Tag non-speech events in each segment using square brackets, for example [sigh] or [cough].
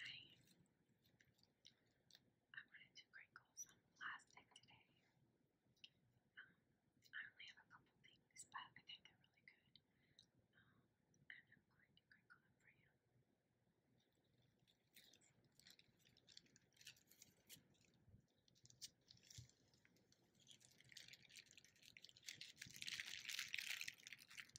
Hi. I wanted to crinkle some plastic today. Um, I only have a couple things, but I think they're really good. Um, and I'm going to crinkle them for you.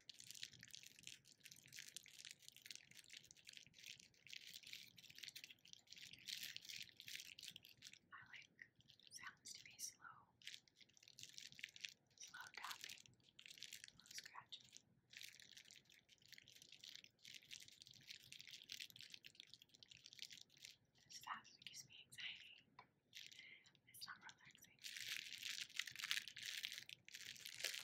I like sounds to be slow, slow tapping, slow scratching. This fast gives me anxiety. It's not relaxing.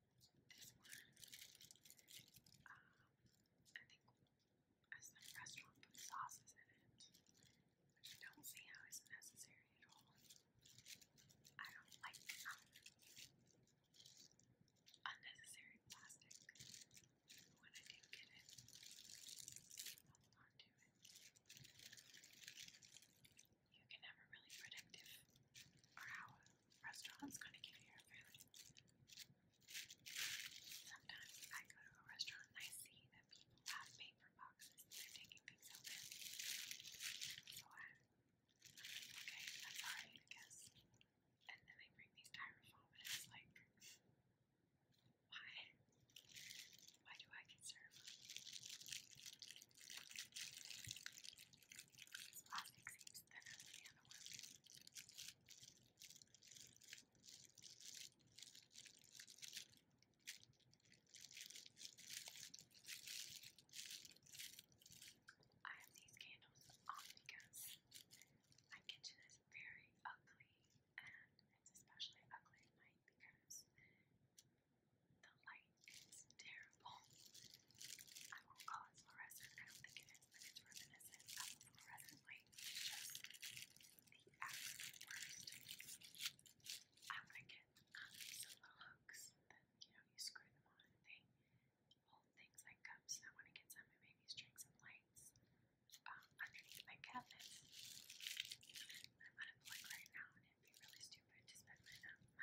Um, I think as restaurant sauces in it, I don't see how it's necessary at all. I don't like unnecessary plastic when I do get it you can never really predict if or how a restaurant's gonna give you your food. Sometimes I go to a restaurant and I see that people have paper boxes and they're taking things out in. So I, okay, that's alright, I guess. And then they bring these styrofoam and it's like, why? Why do I get served? This plastic seems thinner than the other one. I have these candles on because my kitchen is very ugly and it's especially ugly at night because the light is terrible. I will call it fluorescent, I don't think it is, but it's reminiscent of a fluorescent light. just the absolute I'm gonna get um, some little hooks that, you know, you screw them on they hold things like cups. I wanna get some maybe string some lights um, underneath my cabinets. I'm gonna plug right now it'd be really stupid to spend my, money on that.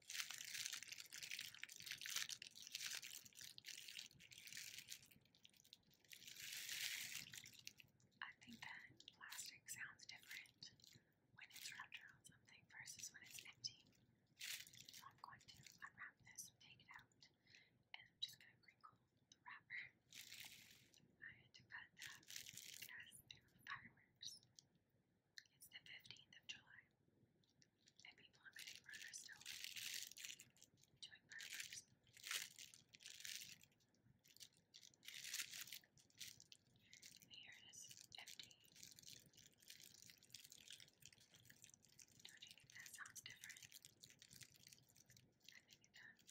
I think that plastic sounds different when it's wrapped around something versus when it's empty. So I'm going to unwrap this and take it out, and I'm just going to crinkle the wrapper. I had to cut that because they were fireworks. It's the 15th of July, and people are getting murder still. Doing murders. And here empty. Don't that sounds different? I think it does.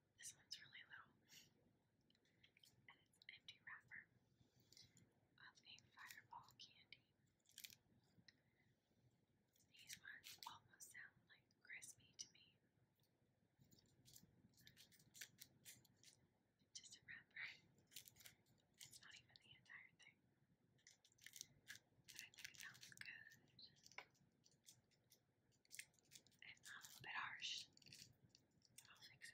This one's really little, and it's empty wrapper of a fireball candy. These ones almost sound like crispy to me. Just a wrapper. It's not even the entire thing. But I think it sounds good. And a little bit harsh, but I'll fix it.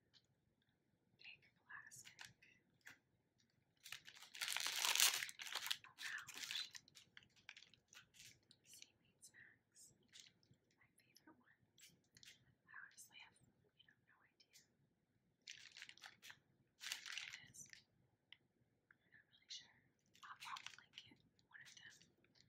big plastic around seaweed snacks. My favorite one. I honestly have you know no idea. it is. I'm not really sure. I'll probably get one of them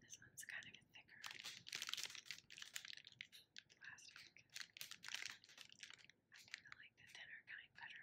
This one's got a bit thicker plastic. I kind of like the thinner kind better.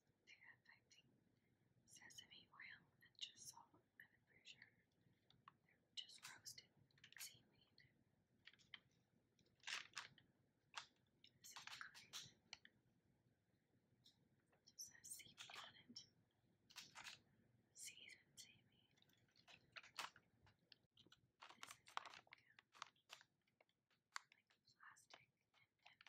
They're affecting sesame oil and just salt, and I'm pretty sure they're just roasted seaweed. Some green. Just has seaweed on it. Seasoned seaweed. This is like, um, like plastic and tin foil sound.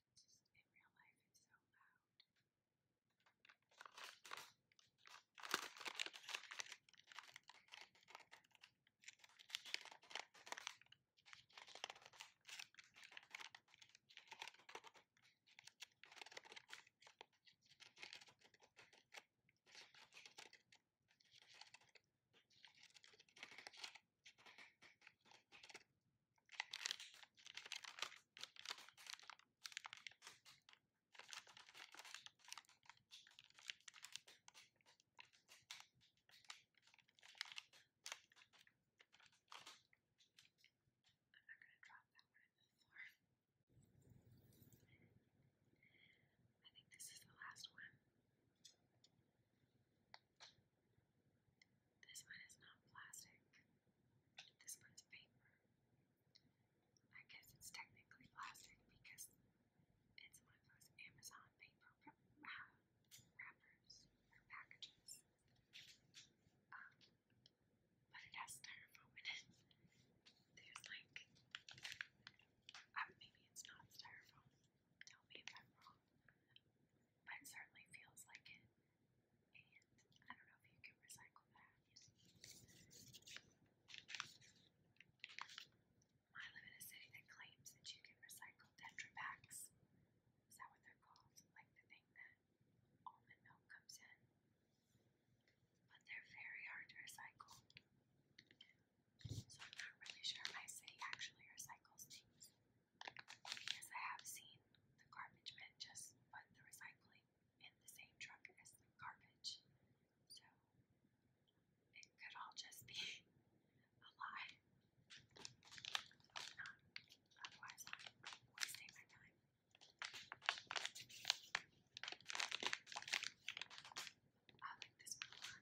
just in real life it's so loud. I'm not going to drop that one in the floor. I think this is the last one. This one is not plastic. This one's paper. I guess it's technically plastic because it's one of those Amazon paper wrappers or packages. Um, but it has styrofoam in it. There's like, uh, maybe it's not styrofoam. Tell me if I'm wrong but it certainly feels like it. And I don't know if you can recycle that. I live in a city that claims that you can recycle Tetra packs. Is that what they're called? Like the thing that almond milk comes in? But they're very hard to recycle. So I'm not really sure my city actually recycles things. Yes, I have seen the garbage men just put the recycling in the same truck as the garbage. So it could all just be [laughs] a lie. Hope not. Otherwise, I'm wasting my time. I like this one a lot.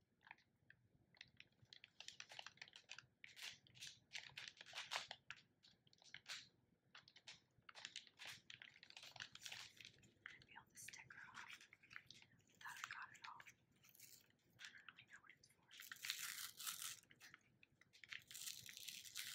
peel the sticker off. thought I got it all. I don't know what it's for. No one learned location or something.